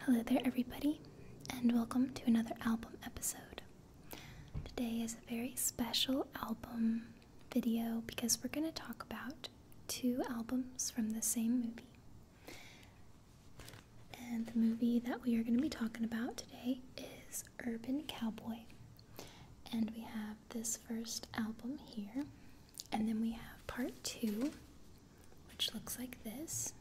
Hello there, everybody, and welcome to another album episode. Today is a very special album video because we're going to talk about two albums from the same movie. And the movie that we are going to be talking about today is Urban Cowboy. And we have this first album here, and then we have part two, which looks like this.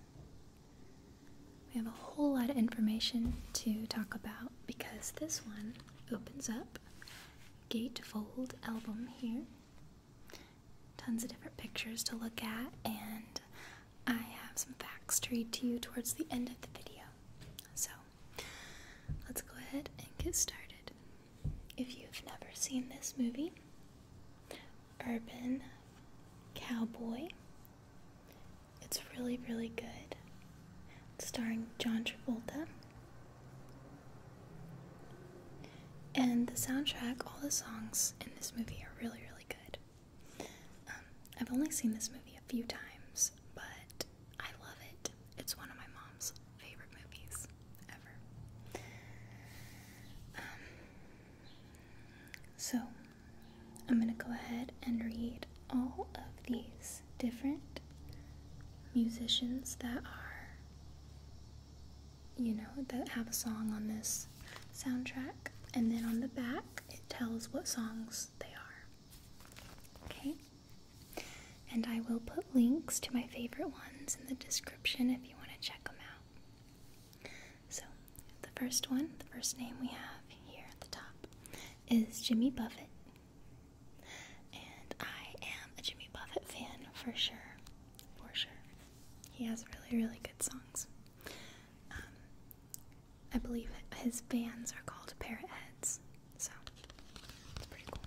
We have a whole lot of information to talk about because this one opens up gatefold album here. Tons of different pictures to look at, and I have some facts to read to you towards the end of the video. So let's go ahead and get started. If you've never seen this movie, Urban Cowboy. It's really, really good. starring John Travolta. And the soundtrack, all the songs in this movie are really, really good. Um, I've only seen this movie a few times, but I love it. It's one of my mom's favorite movies ever. Um, so, I'm going to go ahead and read all of these different musicians that are, you know, that have a song on this soundtrack. And then on the back, it tells what songs they are. Okay? And I will put links to my favorite ones in the description if you want to check them out. So, the first one, the first name we have here at the top is Jimmy Buffett. And I am a Jimmy Buffett fan for sure. For sure. He has really, really good songs. Um, I believe his bands are called Parrot so it's pretty cool.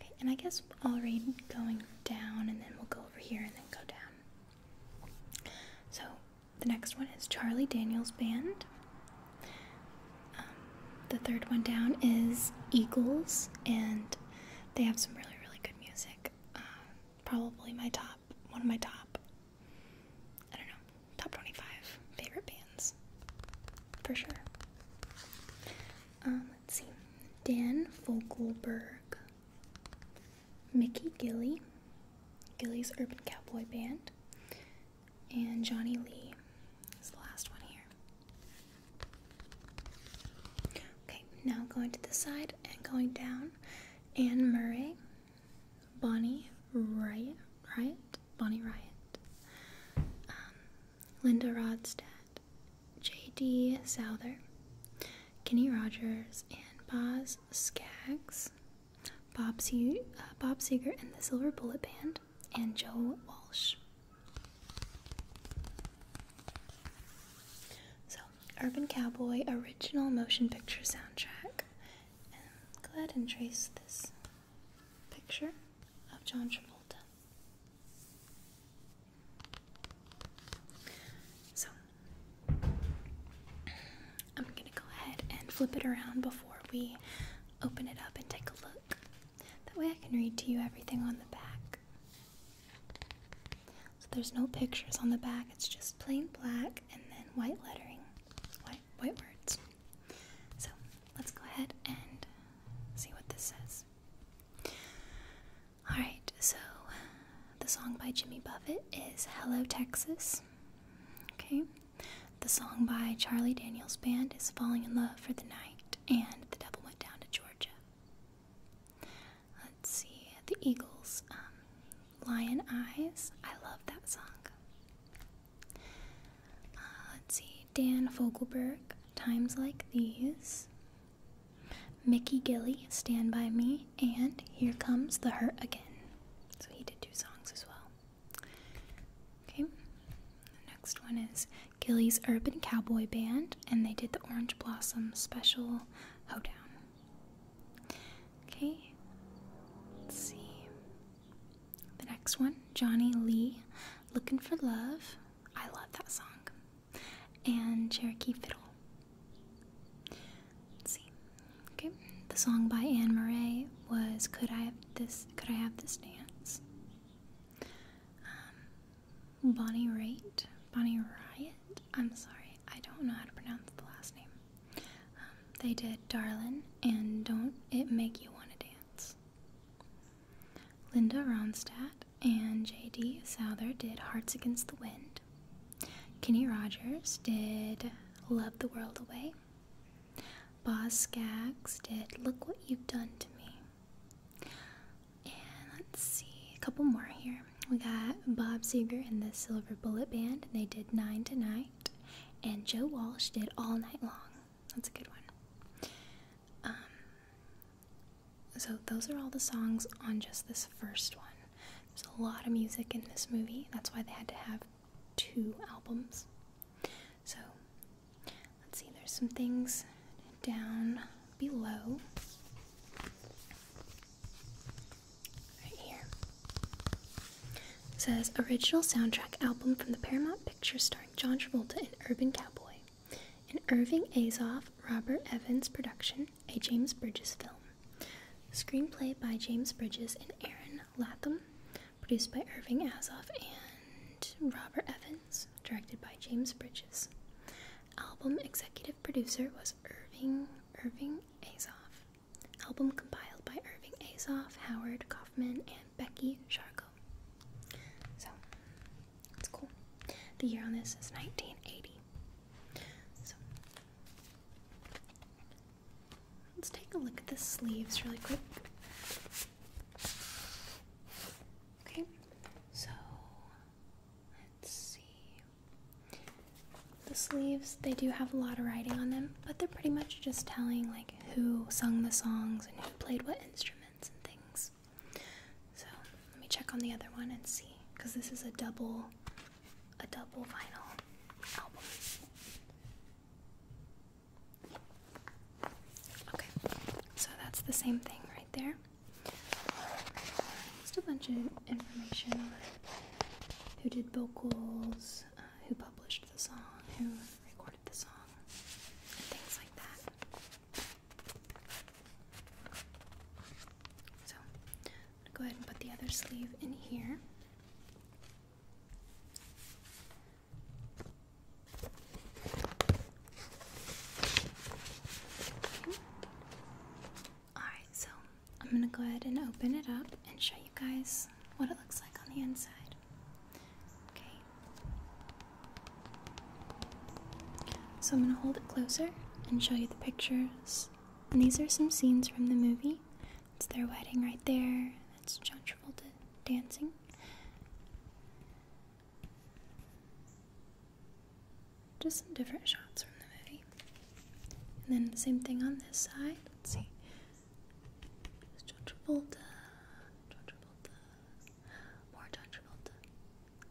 Okay, and I guess I'll read going down and then we'll go over here and then go down. So the next one is Charlie Daniels Band. Um, the third one down is Eagles, and they have some really, really good music. Um, probably my top, one of my top, I don't know, top 25 favorite bands, for sure. Um, let's see. Dan Fogelberg. Mickey Gilly. Gilly's Urban Cowboy Band. And Johnny Lee is the last one here. Okay, now going to the side and going down. Anne Murray, Bonnie Riot, Riot, Bonnie Riot, um, Linda Rodstad, J.D. Souther, Kenny Rogers, and Boz Skaggs, Bob, Se uh, Bob Seger and the Silver Bullet Band, and Joe Walsh. So, Urban Cowboy original motion picture soundtrack. go ahead and trace this picture of John Travolta. So I'm going to go ahead and flip it around before we open it up and take a look. That way I can read to you everything on the back. So there's no pictures on the back, it's just plain black and then white lettering, white, white words. So let's go ahead and see what this says. Alright, so uh, the song by Jimmy Buffett is Hello Texas. Okay. The song by Charlie Daniels Band is Falling in Love for the Night, and The Devil Went Down to Georgia. Let's see, The Eagles, um, Lion Eyes. I love that song. Uh, let's see, Dan Fogelberg, Times Like These. Mickey Gilly, Stand By Me, and Here Comes the Hurt Again. So he did two songs as well. Okay, the next one is Gilly's Urban Cowboy Band, and they did the Orange Blossom Special Hoedown. Okay, let's see. The next one, Johnny Lee, Looking for Love, I love that song. And Cherokee Fiddle. see. Okay. The song by Anne Murray was Could I Have This Could I Have This Dance? Um, Bonnie Raitt. Bonnie Riot? I'm sorry, I don't know how to pronounce the last name. Um, they did Darlin' and Don't It Make You Wanna Dance. Linda Ronstadt and J.D. Souther did Hearts Against the Wind. Kenny Rogers did Love the World Away. Boz Skaggs did Look What You've Done to Me. And let's see, a couple more here. We got Bob Seger and the Silver Bullet Band. They did Nine Tonight," And Joe Walsh did All Night Long. That's a good one. Um, so, those are all the songs on just this first one. There's a lot of music in this movie, that's why they had to have two albums. So, let's see, there's some things down below. Right here. says original soundtrack album from the Paramount Pictures starring John Travolta and Urban Cowboy. An Irving Azoff, Robert Evans production, a James Bridges film. Screenplay by James Bridges and Aaron Latham, produced by Irving Azoff and Robert Evans, directed by James Bridges. Album executive producer was Irving Irving Azoff. Album compiled by Irving Azoff, Howard Kaufman, and Becky Sharko. So that's cool. The year on this is 1980. So let's take a look at the sleeves really quick. Okay, so let's see. The sleeves, they do have a lot of writing on them, but they're pretty much just telling like who sung the songs and who played what instruments and things. So let me check on the other one and see, because this is a double, a double vinyl album. Okay, so that's the same thing right there. Just a bunch of information on who did vocals, uh, who published the song, who recorded the song, and things like that. So I'm gonna go ahead and put the other sleeve in here. Alright, so I'm gonna go ahead and open it up and show you guys what it looks like on the inside. Okay. So I'm going to hold it closer and show you the pictures. And these are some scenes from the movie. It's their wedding right there. That's John Travolta dancing. Just some different shots from the movie. And then the same thing on this side. Let's see. It's John Travolta. John Travolta. More John Travolta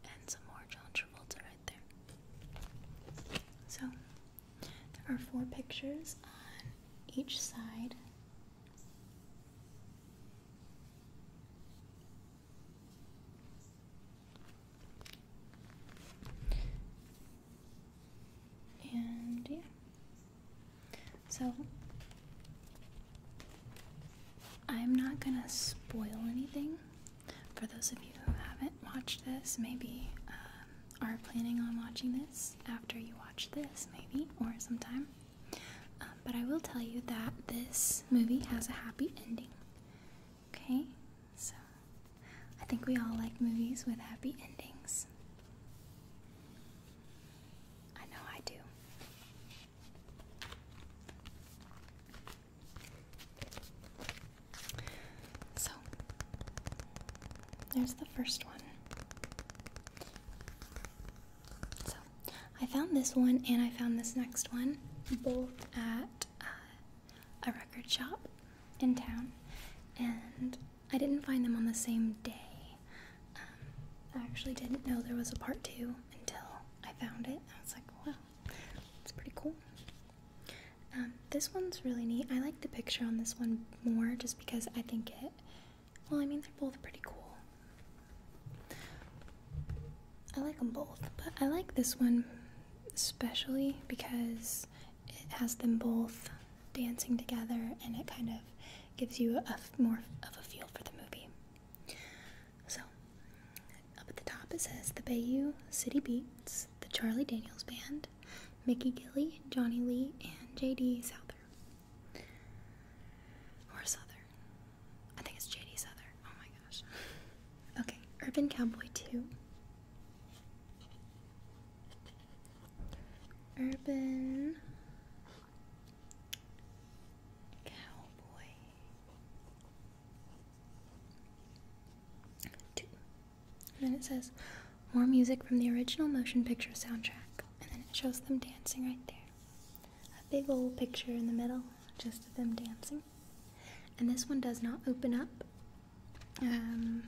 and some more John Travolta right there. So there are four pictures on each side. And yeah. So I'm not gonna spoil anything for those of you who haven't watched this, maybe um, are planning on watching this after you watch this, maybe, or sometime. Um, but I will tell you that this movie has a happy ending. Okay? So, I think we all like movies with happy endings. I know I do. So, there's the first one. So, I found this one and I found this next one both at uh, a record shop in town, and I didn't find them on the same day. Um, I actually didn't know there was a part two until I found it. I was like, wow, it's pretty cool. Um, this one's really neat. I like the picture on this one more just because I think it, well, I mean, they're both pretty cool. I like them both, but I like this one especially because it has them both dancing together and it kind of gives you a more of a feel for the movie. So, up at the top it says the Bayou City Beats, the Charlie Daniels Band, Mickey Gilly, Johnny Lee, and JD Souther. Or Souther. I think it's JD Souther. Oh my gosh. Okay, Urban Cowboy 2. Urban Cowboy Two. And then it says more music from the original motion picture soundtrack. And then it shows them dancing right there. A big old picture in the middle, just of them dancing. And this one does not open up. Um,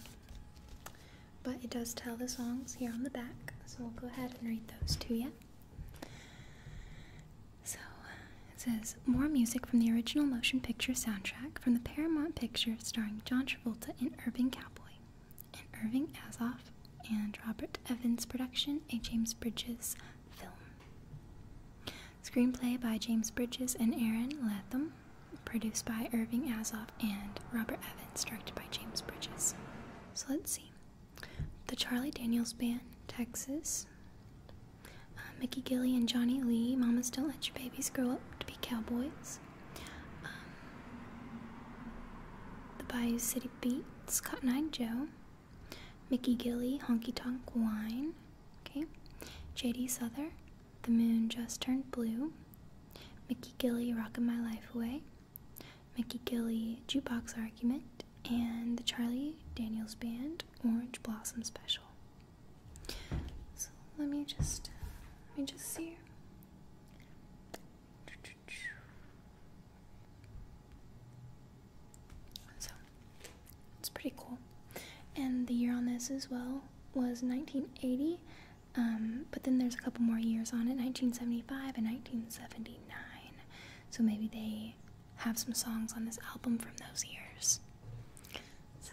but it does tell the songs here on the back. So we'll go ahead and read those to you. So uh, it says more music from the original motion picture soundtrack from the Paramount picture starring John Travolta and Irving Cowboy, and Irving Azoff and Robert Evans production, a James Bridges film. Screenplay by James Bridges and Aaron Latham, produced by Irving Azoff and Robert Evans, directed by James Bridges. So let's see. The Charlie Daniels Band, Texas. Uh, Mickey Gilly and Johnny Lee. Mamas don't let your babies grow up to be cowboys. Um, the Bayou City Beats. Cotton Eye Joe. Mickey Gilly. Honky Tonk Wine. Okay. J.D. Souther. The Moon Just Turned Blue. Mickey Gilly. Rockin' My Life Away. Mickey Gilly. Jukebox Argument and the Charlie Daniels Band Orange Blossom Special. So let me just let me just see. So it's pretty cool, and the year on this as well was 1980. Um, but then there's a couple more years on it 1975 and 1979 so maybe they have some songs on this album from those years. So,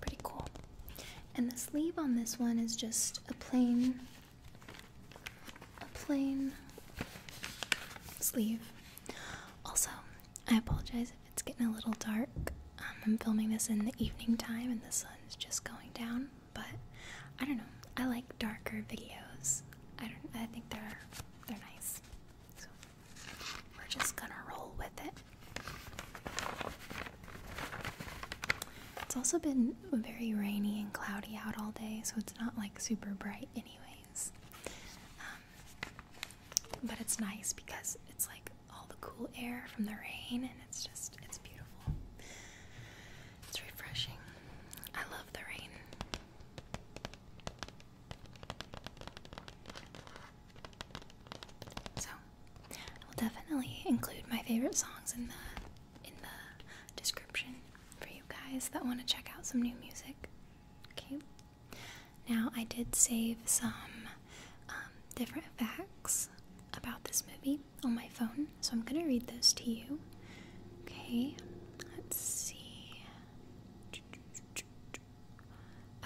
pretty cool. And the sleeve on this one is just a plain, a plain sleeve. Also, I apologize if it's getting a little dark. Um, I'm filming this in the evening time and the sun's just going down, but I don't know. I like darker videos. I don't. I think they're they're nice. We're just gonna roll with it. It's also been very rainy and cloudy out all day, so it's not like super bright, anyways. Um, but it's nice because it's like all the cool air from the rain, and it's just, it's beautiful. It's refreshing. I love the rain. So, I will definitely include my favorite songs in the in the description for you guys that want to check out some new music. Okay. Now, I did save some um, different facts about this movie on my phone, so I'm gonna read those to you. Okay. Let's see.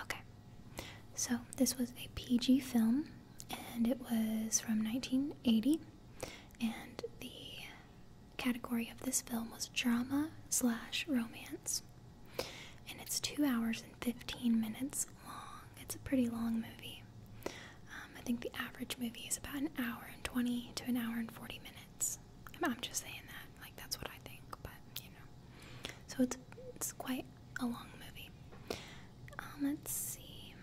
Okay, so this was a PG film, and it was from 1980, and the category of this film was drama slash romance, and it's two hours and 15 minutes long. It's a pretty long movie. Um, I think the average movie is about an hour and 20 to an hour and 40 minutes. I'm just saying that, like that's what I think, but you know. So it's it's quite a long movie. Um, let's see.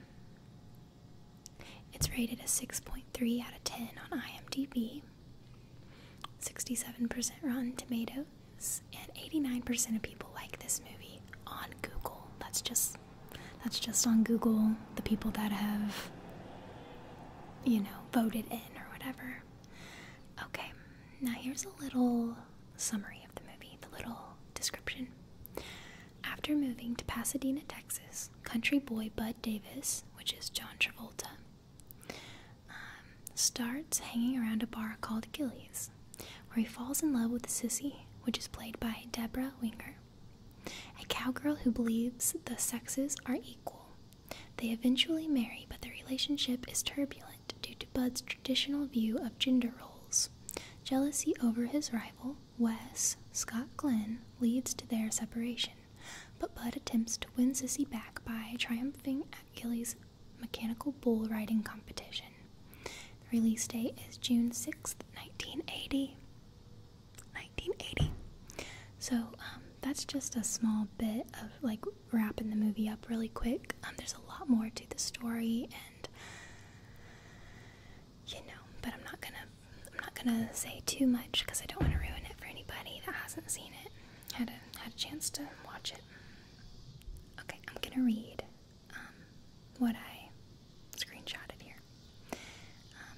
It's rated a 6.3 out of 10 on IMDb, 67% Rotten Tomatoes, and 89% of people like this movie on Google. That's just that's just on Google. The people that have you know voted in or whatever. Okay, now here's a little summary of the movie, the little description. After moving to Pasadena, Texas, country boy Bud Davis, which is John Travolta, um, starts hanging around a bar called Gillies, where he falls in love with sissy, which is played by Deborah Winger, a cowgirl who believes the sexes are equal they eventually marry, but their relationship is turbulent due to Bud's traditional view of gender roles. Jealousy over his rival, Wes Scott Glenn, leads to their separation, but Bud attempts to win Sissy back by triumphing at Kelly's mechanical bull riding competition. The release date is June 6th, 1980. 1980. So, um, that's just a small bit of like wrapping the movie up really quick. Um, there's a lot more to the story, and you know, but I'm not gonna I'm not gonna say too much because I don't want to ruin it for anybody that hasn't seen it. Had a had a chance to watch it. Okay, I'm gonna read um, what I screenshotted here. Um,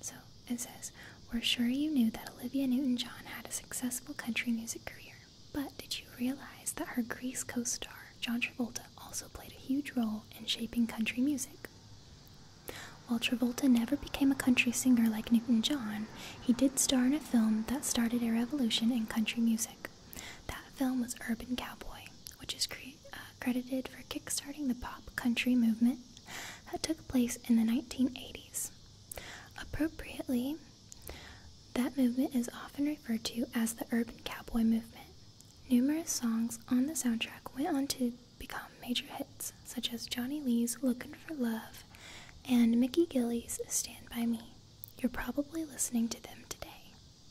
so it says, We're sure you knew that Olivia Newton John had a successful country music career, but did you realize that her Grease co star, John Travolta, also played a huge role in shaping country music? While Travolta never became a country singer like Newton John, he did star in a film that started a revolution in country music. That film was Urban Cowboy, which is uh, credited for kickstarting the pop country movement that took place in the 1980s. Appropriately, that movement is often referred to as the urban cowboy movement. Numerous songs on the soundtrack went on to become major hits, such as Johnny Lee's Looking for Love and Mickey Gilly's Stand By Me. You're probably listening to them today,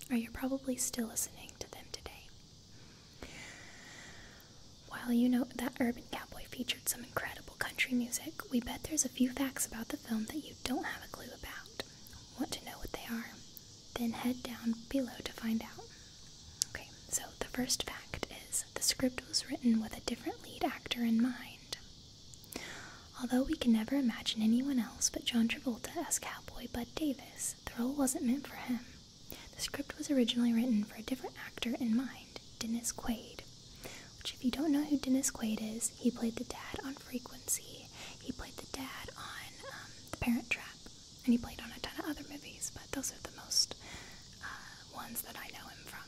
or you're probably still listening to them today. While you know that Urban Cowboy featured some incredible country music, we bet there's a few facts about the film that you don't have a clue about. Want to know what they are? Then head down below to find out. Okay, so the first fact is the script was written with a different lead actor in mind. Although we can never imagine anyone else but John Travolta as Cowboy Bud Davis, the role wasn't meant for him. The script was originally written for a different actor in mind, Dennis Quaid. Which, if you don't know who Dennis Quaid is, he played the dad on Frequency, he played the dad on um, The Parent Trap, and he played on a ton of other movies, but those are the most uh, ones that I know him from.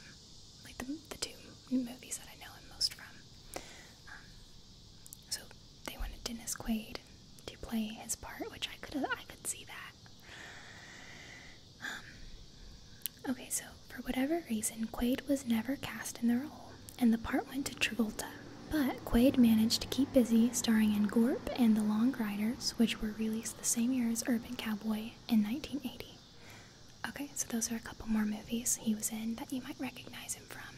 Like the, two movies that I know him most from. Um, so they wanted Dennis Quaid to play his part, which I could I could see that. Um, okay, so for whatever reason, Quaid was never cast in the role, and the part went to Travolta. But Quaid managed to keep busy starring in Gorp and The Long Riders, which were released the same year as Urban Cowboy in 1980. Okay, so those are a couple more movies he was in that you might recognize him from.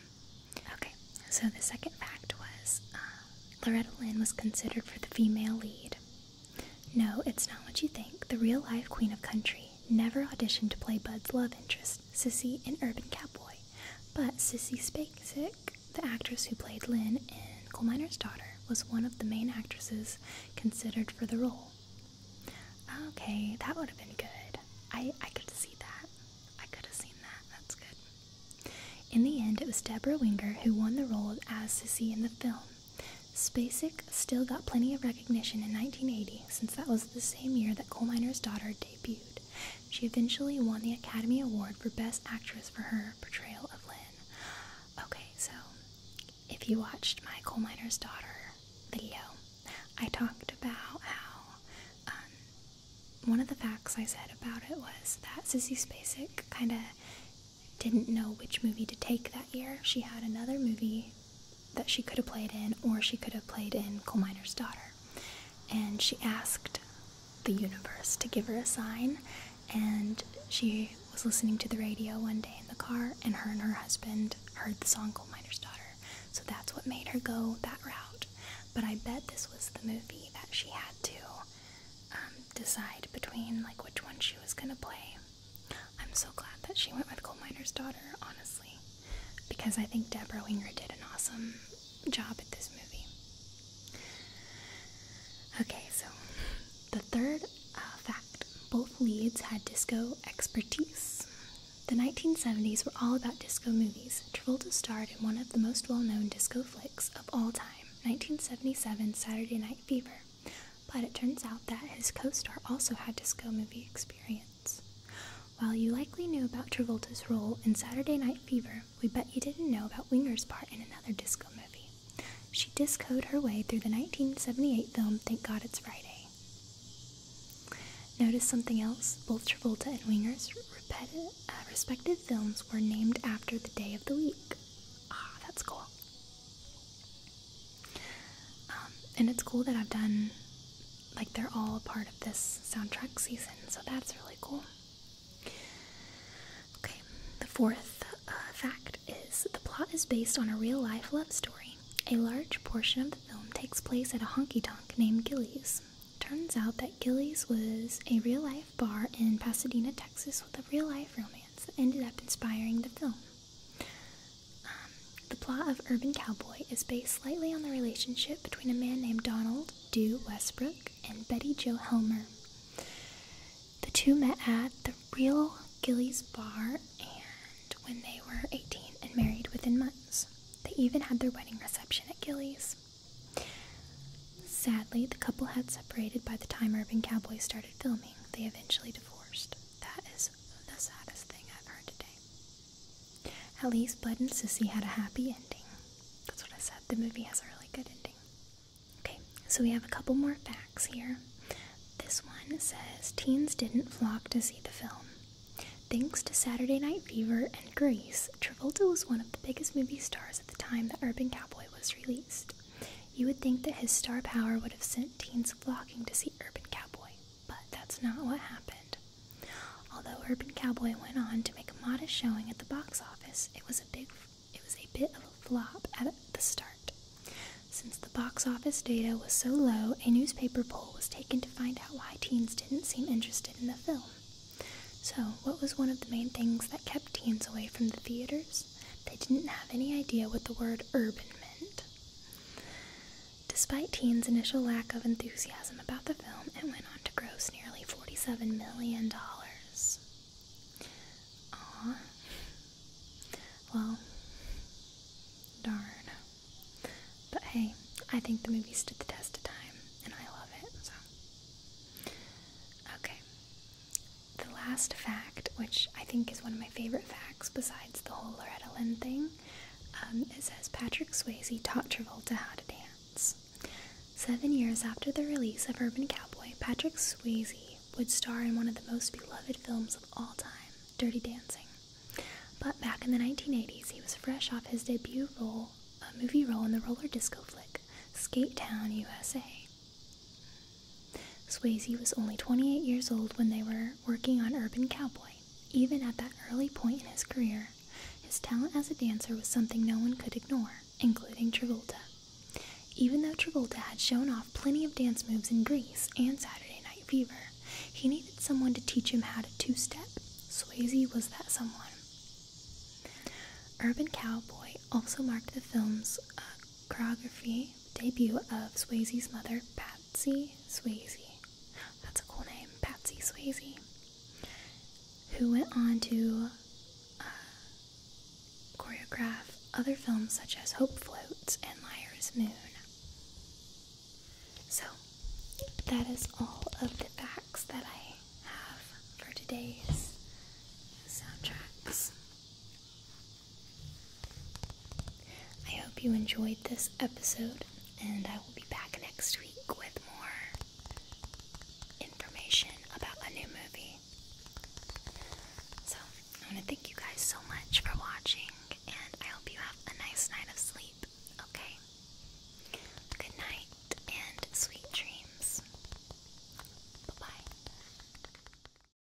Okay, so the second fact was uh, Loretta Lynn was considered for the female lead, no, it's not what you think. The real life Queen of Country never auditioned to play Bud's love interest, Sissy, in Urban Cowboy. But Sissy Spacek, the actress who played Lynn in Coal Miner's Daughter, was one of the main actresses considered for the role. Okay, that would have been good. I, I could see that. I could have seen that. That's good. In the end, it was Deborah Winger who won the role as Sissy in the film. Spacek still got plenty of recognition in 1980 since that was the same year that Coal Miner's Daughter debuted. She eventually won the Academy Award for Best Actress for her portrayal of Lynn. Okay, so if you watched my Coal Miner's Daughter video, I talked about how um, one of the facts I said about it was that Sissy Spacek kind of didn't know which movie to take that year. She had another movie that she could have played in, or she could have played in Coal Miner's Daughter. And she asked the universe to give her a sign, and she was listening to the radio one day in the car, and her and her husband heard the song Coal Miner's Daughter. So that's what made her go that route. But I bet this was the movie that she had to um, decide between, like, which one she was gonna play. I'm so glad that she went with Coal Miner's Daughter, honestly, because I think Deborah Winger did an awesome job at this movie. Okay, so the third uh, fact both leads had disco expertise. The 1970s were all about disco movies. Travolta starred in one of the most well known disco flicks of all time, 1977 Saturday Night Fever. But it turns out that his co star also had disco movie experience. While you likely knew about Travolta's role in Saturday Night Fever, we bet you didn't know about Winger's part in another disco movie. She discoed her way through the 1978 film Thank God It's Friday. Notice something else? Both Travolta and Winger's uh, respective films were named after the day of the week. Ah, that's cool. Um, and it's cool that I've done, like, they're all a part of this soundtrack season, so that's really cool. Okay, the fourth uh, fact is the plot is based on a real life love story. A large portion of the film takes place at a honky tonk named Gillies. Turns out that Gillies was a real life bar in Pasadena, Texas, with a real life romance that ended up inspiring the film. Um, the plot of Urban Cowboy is based slightly on the relationship between a man named Donald Dew Westbrook and Betty Jo Helmer. The two met at the Real Gilly's Bar and when they were 18 and married within months. They even had their wedding reception at Gilly's. Sadly, the couple had separated by the time Urban Cowboy started filming. They eventually divorced. That is the saddest thing I've heard today. At least Bud and Sissy had a happy ending. That's what I said. The movie has a really good ending. Okay, so we have a couple more facts here. This one says teens didn't flock to see the film. Thanks to Saturday Night Fever and Grease, Travolta was one of the biggest movie stars at the time that Urban Cowboy was released. You would think that his star power would have sent teens flocking to see Urban Cowboy, but that's not what happened. Although Urban Cowboy went on to make a modest showing at the box office, it was a big it was a bit of a flop at the start. Since the box office data was so low, a newspaper poll was taken to find out why teens didn't seem interested in the film. So, what was one of the main things that kept teens away from the theaters? They didn't have any idea what the word urban meant. Despite Teen's initial lack of enthusiasm about the film, it went on to gross nearly $47 million. Aw. Well, darn. But hey, I think the movie stood the test of time, and I love it, so. Okay, the last fact, which I think is one of my favorite facts besides the whole Loretta Lynn thing, is um, it Patrick Swayze taught Travolta how to dance. Seven years after the release of Urban Cowboy, Patrick Swayze would star in one of the most beloved films of all time, Dirty Dancing. But back in the 1980s, he was fresh off his debut role, a movie role in the roller disco flick, Skate Town USA. Swayze was only 28 years old when they were working on Urban Cowboy. Even at that early point in his career, his talent as a dancer was something no one could ignore, including Travolta. Even though Travolta had shown off plenty of dance moves in Grease and Saturday Night Fever, he needed someone to teach him how to two step. Swayze was that someone. Urban Cowboy also marked the film's uh, choreography debut of Swayze's mother, Patsy Swayze. That's a cool name, Patsy Swayze, who went on to uh, choreograph other films such as Hope Floats and Liar's Moon. So, that is all of the facts that I have for today's soundtracks. I hope you enjoyed this episode, and I will be back next week with more information about a new movie. So, I want to thank you guys so much for watching, and I hope you have a nice night of sleep, okay? Good night and sweet dreams. Bye bye.